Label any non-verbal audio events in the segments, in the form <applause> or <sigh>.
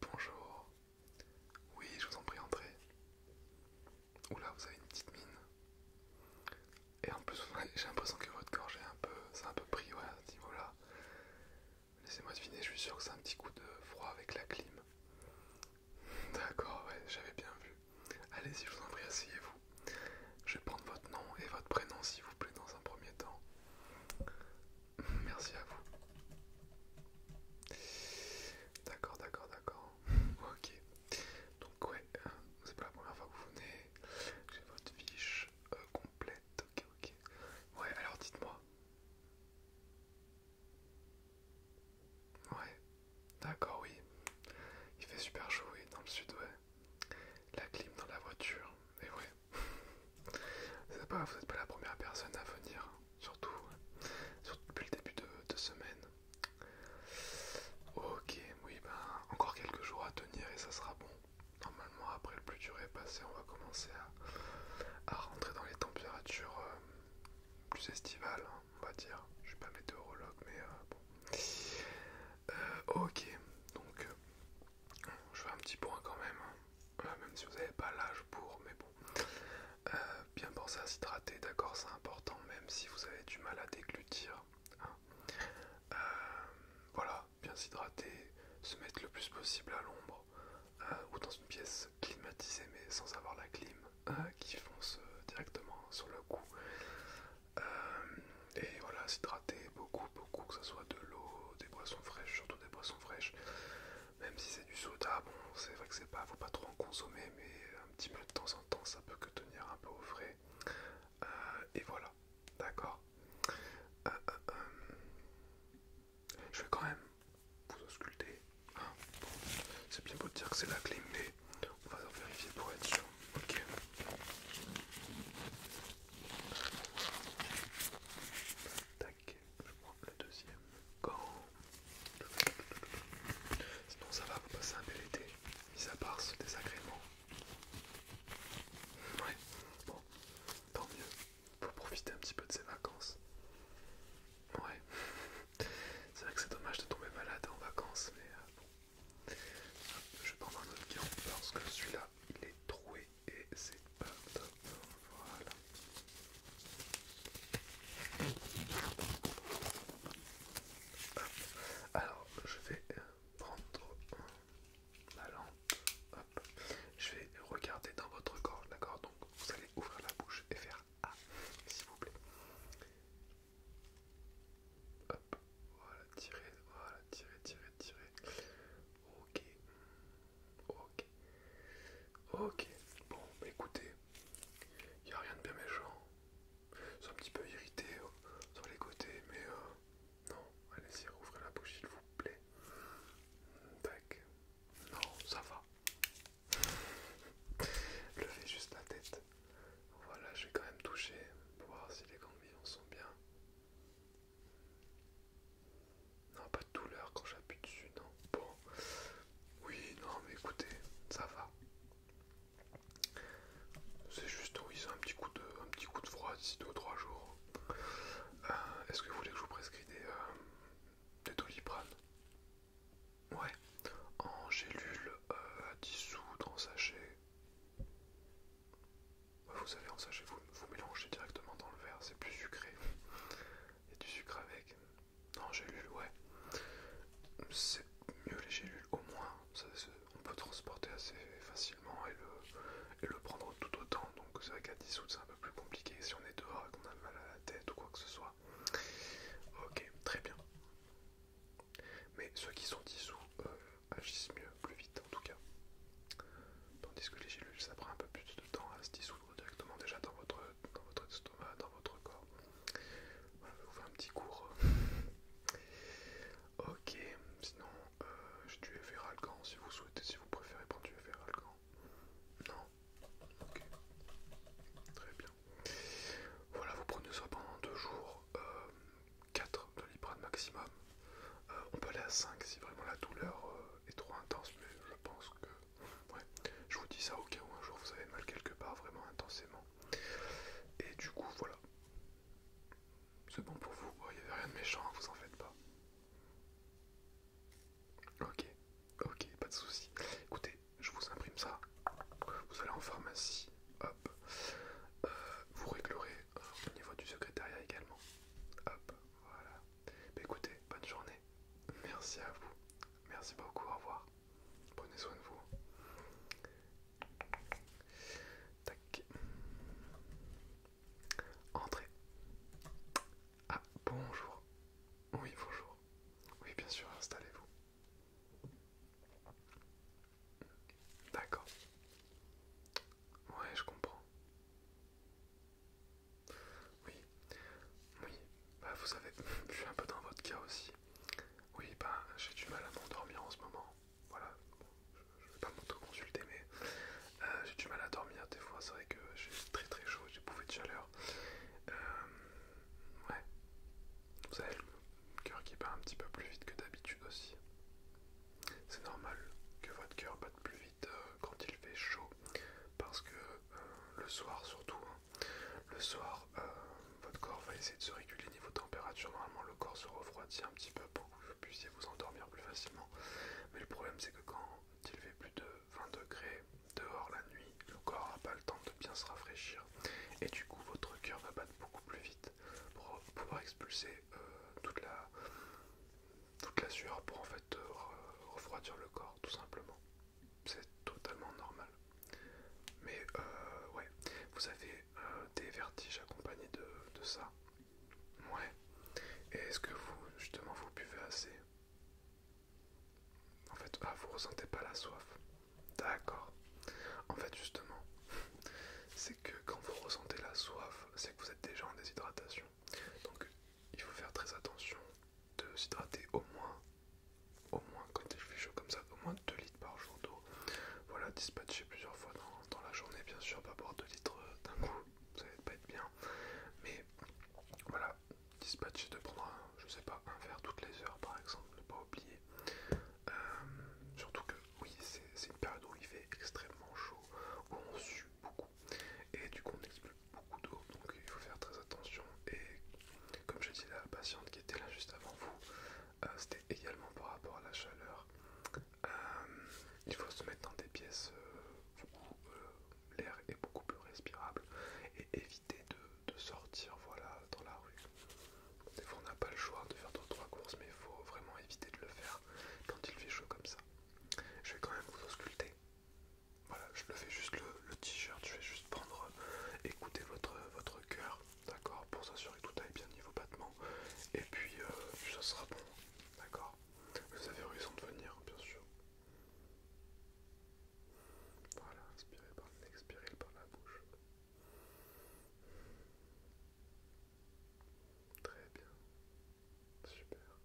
Bonjour. Oui, je vous en prie, entrez. Oula, vous avez une petite mine. Et en plus, <laughs> j'ai l'impression que votre gorge est un peu, c'est un peu pris, ouais, à ce niveau-là. Laissez-moi deviner, je suis sûr que c'est un petit coup de froid avec la clim. <laughs> D'accord, ouais, j'avais bien vu. Allez-y, je vous en prie, asseyez-vous. Je vais prendre votre nom et votre prénom, s'il vous plaît, dans un premier temps. Merci à vous. D'accord, d'accord, d'accord. ok. Donc ouais, euh, c'est pas la première fois que vous venez. J'ai votre fiche euh, complète. Ok, ok. Ouais, alors dites-moi. Ouais, d'accord, oui. Il fait super chaud, oui, dans le sud, ouais. La clim dans la voiture, et ouais, vous n'êtes pas la première personne à venir, surtout, depuis le début de, semaine. Ok, oui, ben encore quelques jours à tenir et ça sera bon. Normalement, après le plus dur est passé, on va commencer à, rentrer dans les températures euh, plus estivales, hein, on va dire. Je suis pas météorologue, mais euh, bon. Euh, ok, donc je fais un petit point quand même. Hein. Euh, même si vous n'avez pas l'âge pour, mais bon. Euh, bien penser à s'hydrater, d'accord, c'est important, même si vous avez du mal à déglutir. Hein. Euh, voilà, bien s'hydrater, se mettre le plus possible à l'ombre ou dans une pièce climatisée, mais sans avoir la clim qui fonce directement sur le cou et voilà, s'hydrater beaucoup, beaucoup, que ce soit de l'eau, des boissons fraîches, surtout des boissons fraîches, même si c'est du soda, bon, c'est vrai que c'est pas, faut pas trop en consommer, mais un petit peu de temps en temps, ça peut que tenir un peu au frais, euh, et voilà, d'accord. Euh, euh, je vais quand même vous ausculter, ah, c'est bien beau de dire que c'est la clé, mais on va vérifier pour être sûr, ok. Tac, je prends le deuxième Sinon ça va, vous passez un bel été, mis à part ce désagrément. Ouais, bon, tant mieux. Pour profiter un petit peu de ces vacances. Ouais, <laughs> c'est vrai que c'est dommage de tomber malade en vacances, mais euh, bon, je vais prendre un autre gant parce que celui-là il est troué et c'est pas top. Voilà. Ah. Alors je vais prendre la lampe. Je vais regarder dans votre corps, d'accord Donc vous allez ouvrir la bouche et faire A, s'il vous plaît. Hop, voilà, tirez voilà, tirez tirez Ok, ok, ok. Bon, bah, écoutez, il n'y a rien de bien méchant. sont un petit peu irrité euh, sur les côtés, mais euh, non, allez-y, rouvrez la bouche s'il vous plaît. Tac, non, ça va. <laughs> Levez juste la tête. Voilà, je vais quand même toucher pour voir si les en sont bien. Non, pas de douleur quand j'appuie dessus, non. Bon, oui, non, mais écoutez, ça va. C'est juste, oui, c'est un petit coup de, petit coup de froid d'ici deux ou trois jours. Euh, est-ce que vous voulez que je vous prescris des, tolipranes euh, Ouais, en gélule euh, à dissoudre en sachet bah, vous savez, en sachet, vous, vous mélangez directement dans le verre, c'est plus sucré. Il y a du sucre avec. Non, gélules, ouais. C'est mieux les gélules, au moins. on peut transporter assez facilement et le, et le prendre tout autant. Donc, c'est vrai qu'à dissoudre, c'est un peu plus compliqué si on est dehors et qu'on a mal à la tête ou quoi que ce soit. Ok, très bien. Mais ceux qui sont dissous euh, agissent mieux, plus vite en tout cas. Tandis que les gélules, ça prend un peu plus de temps à se dissoudre directement déjà dans votre, dans votre estomac, dans votre corps. Voilà, je vais vous faire un petit cours. <laughs> ok, sinon euh, j'ai du si vous souhaitez, si vous préférez prendre du Everalgan. Non Ok, très bien. Voilà, vous prenez ça pendant deux jours, euh, quatre, 4 de l'iprane maximum. Euh, on peut aller à 5 si vraiment la douleur euh, est trop intense, mais je pense que... Ouais, je vous dis ça au cas où un jour vous avez mal quelque part, vraiment intensément. Et du coup, voilà. C'est bon pour vous, il n'y avait rien de méchant, hein, vous en faites pas. Ok, Ok, pas de souci. Écoutez, je vous imprime ça. Vous allez en pharmacie, hop. Euh, vous réglerez euh, au niveau du secrétariat également. Hop, voilà. Bah, écoutez, bonne journée. Merci à vous. Merci beaucoup, au revoir. Prenez soin de vous. Tac. Entrez. Ah, bonjour. Oui, bonjour. Oui, bien sûr, installez-vous. D'accord. Ouais, je comprends. Oui, oui, bah vous savez, je suis <laughs> un peu dans votre cas aussi. Oui, bah j'ai du mal à m'endormir en ce moment. Voilà, je, vais pas m'autoconsulter, mais euh, j'ai du mal à dormir des fois. C'est vrai que j'ai très très chaud, j'ai bouffé de chaleur. Euh, Ouais. Vous avez le cœur qui bat un petit peu plus vite que d'habitude aussi. C'est normal que votre cœur batte plus vite euh, quand il fait chaud. Parce que euh, le soir surtout, hein, le soir, euh, votre corps va essayer de se réguler niveau température. Normalement le corps se refroidit un petit peu pour que vous puissiez vous endormir plus facilement. Mais le problème c'est que quand s'il fait plus de 20 degrés dehors la nuit, le corps n'a pas le temps de bien se rafraîchir et du coup votre cœur va battre beaucoup plus vite pour pouvoir expulser euh, toute, la, toute la sueur pour en fait euh, refroidir le corps tout simplement. C'est totalement normal. Mais euh, ouais, vous avez des vertiges accompagnés de, de ça. Ouais. Et est-ce que vous, justement, vous buvez assez en fait, ah, vous ressentez pas la soif. D'accord. En fait, justement, <laughs> c'est que quand vous ressentez la soif, c'est que vous êtes déjà en déshydratation. Donc, il faut faire très attention de s'hydrater au moins, au moins quand il fait chaud comme ça, au moins 2 litres par jour d'eau. Voilà, dispatcher plusieurs fois dans, la journée, bien sûr, pas boire 2 litres euh, d'un coup ça va pas être bien. Mais voilà, dispatcher de prendre, un, je sais pas, un verre toutes les heures par exemple, ne pas oublier. Euh, surtout que oui, c'est une période où il fait extrêmement chaud, où on sue beaucoup et du coup on n'expulse beaucoup d'eau, donc il faut faire très attention. Et comme je dis, la patiente qui était là juste avant vous, euh, c'était également par rapport à la chaleur. Euh, il faut se mettre dans des pièces beaucoup l'air est beaucoup plus respirable et éviter de, sortir voilà, dans la rue. Des fois on n'a pas le choix de faire 2-3 courses mais il faut vraiment éviter de le faire quand il fait chaud comme ça. Je vais quand même vous ausculter. Voilà, je le fais juste le, t-shirt, je vais juste prendre, écouter votre, cœur, d'accord, pour s'assurer que tout aille bien niveau battement. Et puis, euh, ça sera bon, d'accord vous avez raison de venir, bien sûr. Voilà, inspirez par le nez, expirez par la bouche. Très bien. Super.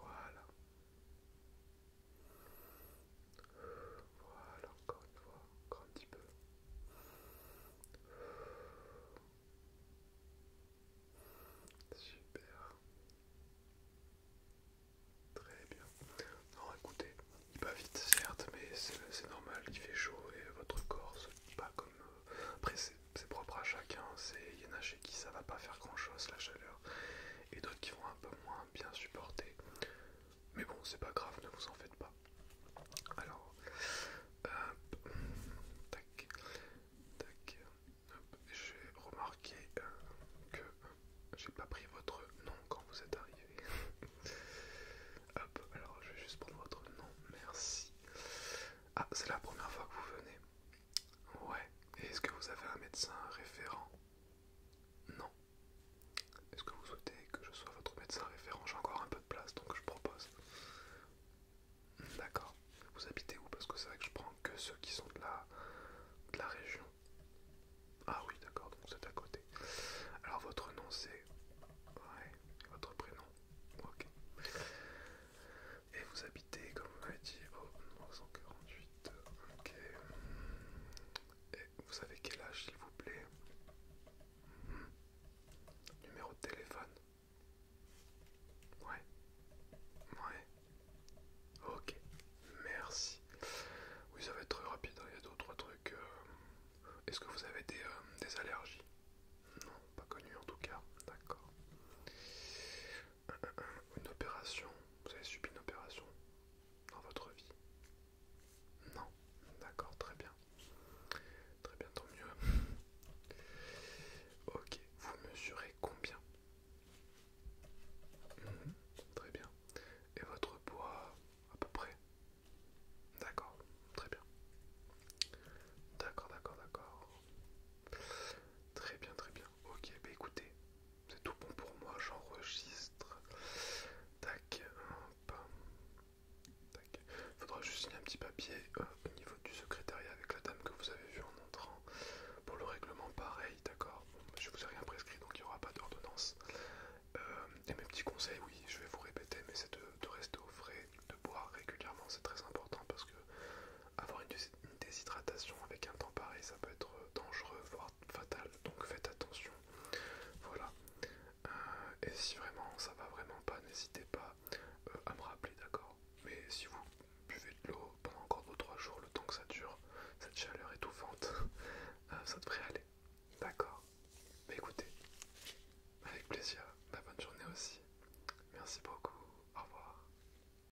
Voilà. Voilà, encore une fois, encore un petit peu. Super. Très bien. Non, écoutez, il va vite, certes, mais c'est normal, il fait chaud et votre corps se pas comme. Euh, après, c'est propre à chacun. Il y en a chez qui ça va pas faire grand chose la chaleur, et d'autres qui vont un peu moins bien supporter. Mais bon, c'est pas grave, ne vous en faites pas. Alors, euh, tac, tac, j'ai remarqué euh, que j'ai pas pris votre nom quand vous êtes arrivé. <laughs> Hop, alors je vais juste prendre votre nom, merci. Ah, c'est la première fois que vous venez. Ouais, Et est-ce que vous avez un médecin référent Non, est-ce que vous souhaitez que je sois votre médecin référent J'ai encore un peu de place donc je propose. D'accord. Vous habitez où Parce que c'est vrai que je prends que ceux qui sont de la, de la région. Ah oui, d'accord, donc c'est à côté. Alors votre nom c'est. Ouais, votre prénom. Ok. Et vous habitez, comme on m'avez dit, au 948. Ok. Et vous savez quel âge s'il vous plaît hmm. Numéro de téléphone Ouais. Ouais. Ok. Merci. Oui, ça va être très rapide. Hein. Il y a deux trois trucs. Euh. Est-ce que vous avez des, euh, des allergies Non, pas connu en tout cas. D'accord. Euh, une opération. Vous avez subi une opération dans votre vie Non, d'accord, très bien. Très bien, tant mieux. <laughs> ok, vous mesurez combien mhm, Très bien. Et votre poids à peu près D'accord, très bien. D'accord, d'accord, d'accord. Très bien, très bien. Ok, bah écoutez, c'est tout bon pour moi, j'enregistre. Tac, hop. Tac. Faudra juste signer un petit papier euh, au niveau du secrétariat avec la dame que vous avez vu en entrant. Pour le règlement, pareil, d'accord Je bah, Je vous ai rien prescrit, donc il n'y aura pas d'ordonnance. Euh, et mes petits conseils, oui, je vais vous répéter, mais c'est de rester au frais, de boire régulièrement, c'est très important parce que avoir une, déshydratation avec un temps pareil, ça peut être euh, dangereux, voire fatal. Donc faites attention. Voilà. Euh, et si vraiment ça va vraiment pas, n'hésitez pas euh, à me rappeler, d'accord Mais si vous buvez de l'eau pendant encore 2-3 jours, le temps que ça dure, cette chaleur étouffante, <laughs> ça devrait aller. D'accord Mais écoutez, avec plaisir, bah, bonne journée aussi. Merci beaucoup, au revoir.